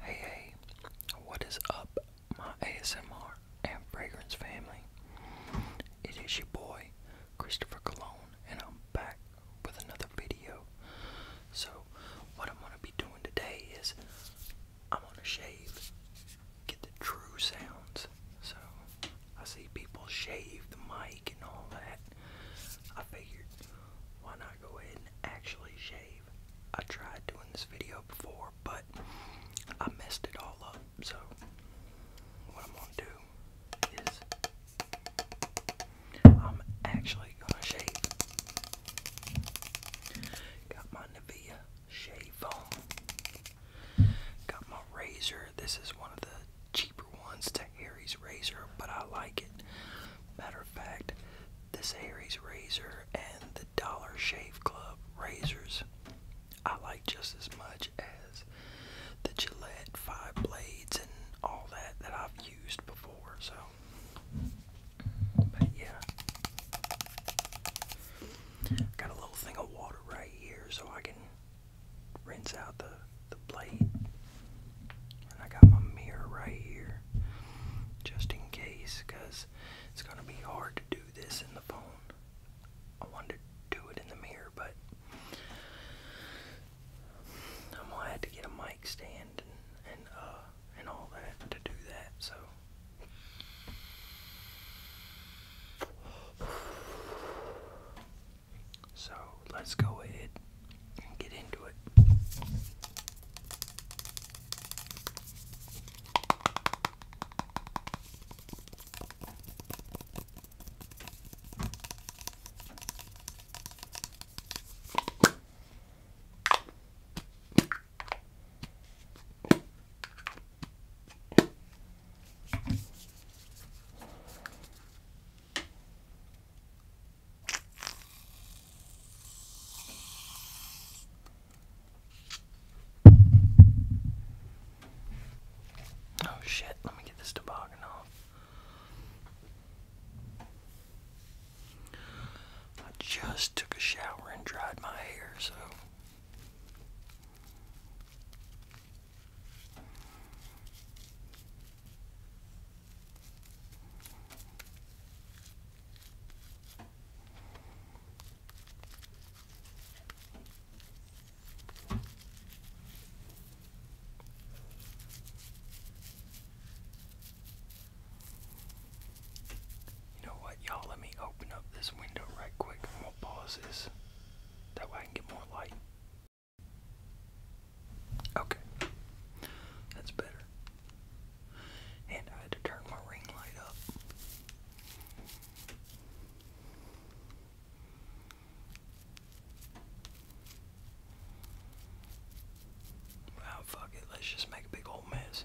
Hey, hey, what is up, my ASMR and fragrance family? It is your boy, Christopher Cologne, and I'm back with another video. So, what I'm going to be doing today is I'm going to shave, get the true sounds. So, I see people shave the mic and all that. I figured, why not go ahead and actually shave? shave. I tried doing this video before, but I messed it all up. So, what I'm going to do is I'm actually going to shave. Got my Nivea shave Got my razor. This is one of the cheaper ones to Harry razor, but I like it. Matter of fact, this Aries razor and the Dollar Shave Club razors I like just as much as the Gillette Five Blades and all that that I've used before. So, but yeah. Got a little thing of water right here so I can rinse out the, the and I got my mirror right here just in case it's going to be hard to do this in the phone. I wanted to do it in the mirror, but I'm going to have to get a mic stand and, and, uh, and all that to do that, so. So let's go ahead and get into it. Oh shit, let me get this toboggan off. I just took a shower and dried my hair, so. You know what, y'all? Let me open up this window right quick and we'll pause this. That way I can get more light. Okay, that's better. And I had to turn my ring light up. Wow, fuck it. Let's just make a big old mess.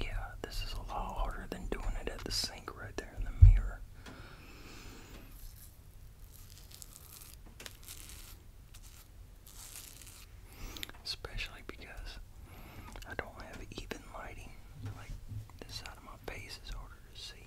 Yeah, this is a lot harder than doing it at the sink right there in the mirror. Especially because I don't have even lighting. Like, this side of my face is harder to see.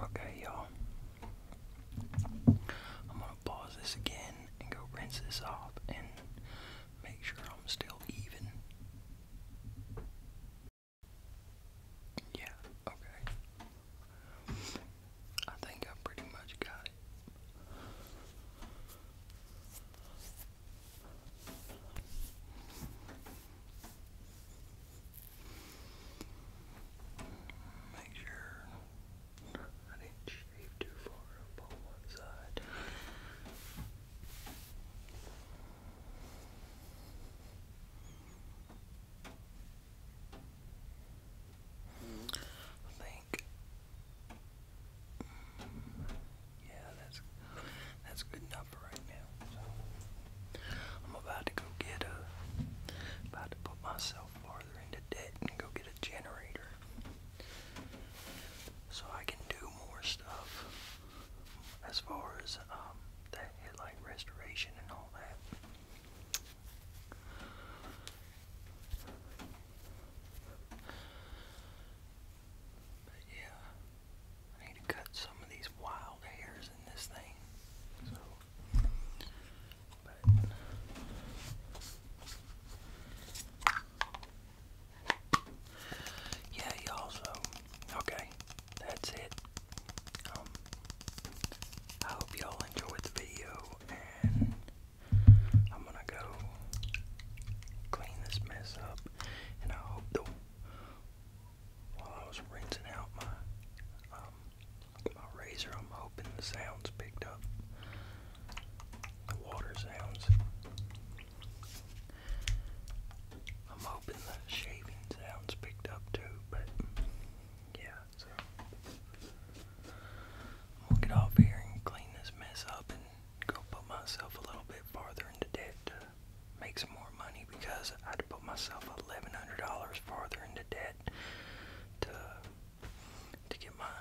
Okay, y'all. I'm gonna pause this again and go rinse this off and Make sure I'm still even. Yeah, okay. I think I pretty much got it. Make sure an inch shaved too far on one side. I think, yeah, that's that's good enough for right now. I'm about to go get a, about to put myself farther into debt and go get a generator so I can do more stuff as far as um, the headlight restoration and all that. But yeah, I need to cut some of these wild hairs in this thing. So, yeah, y'all, so, okay, that's it. Um, I hope y'all enjoyed the video, and I'm gonna go clean this mess up, and I hope while I was rinsing out my, um, my razor, I'm hoping the sounds picked up. The water sounds. I'm hoping the shaving sounds picked up too, but yeah, so I'm get off here and clean this mess up and go put myself a little bit farther into debt to make some more money because I had put myself eleven hundred dollars farther into debt to to get my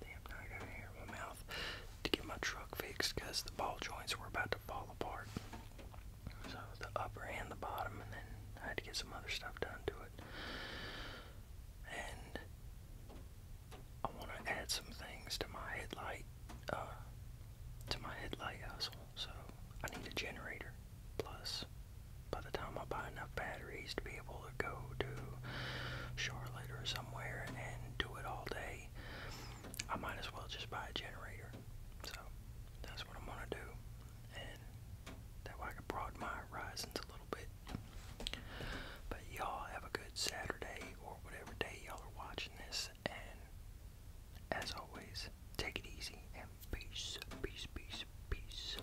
Damn, I got hair in my mouth to get my truck fixed because the ball joints were about to fall apart. So the upper and the bottom, and then I had to get some other stuff done to it. And I want to add some things to my headlight, uh, to my headlight hustle. So I need a generator, plus by the time I buy enough batteries to be able to go to Charlotte or somewhere and do it all day, I might as well just buy a generator. So that's what I'm gonna do, and that way I can broaden my horizons a little bit. But y'all have a good Saturday or whatever day y'all are watching this, and as always, take it easy and peace, peace, peace, peace.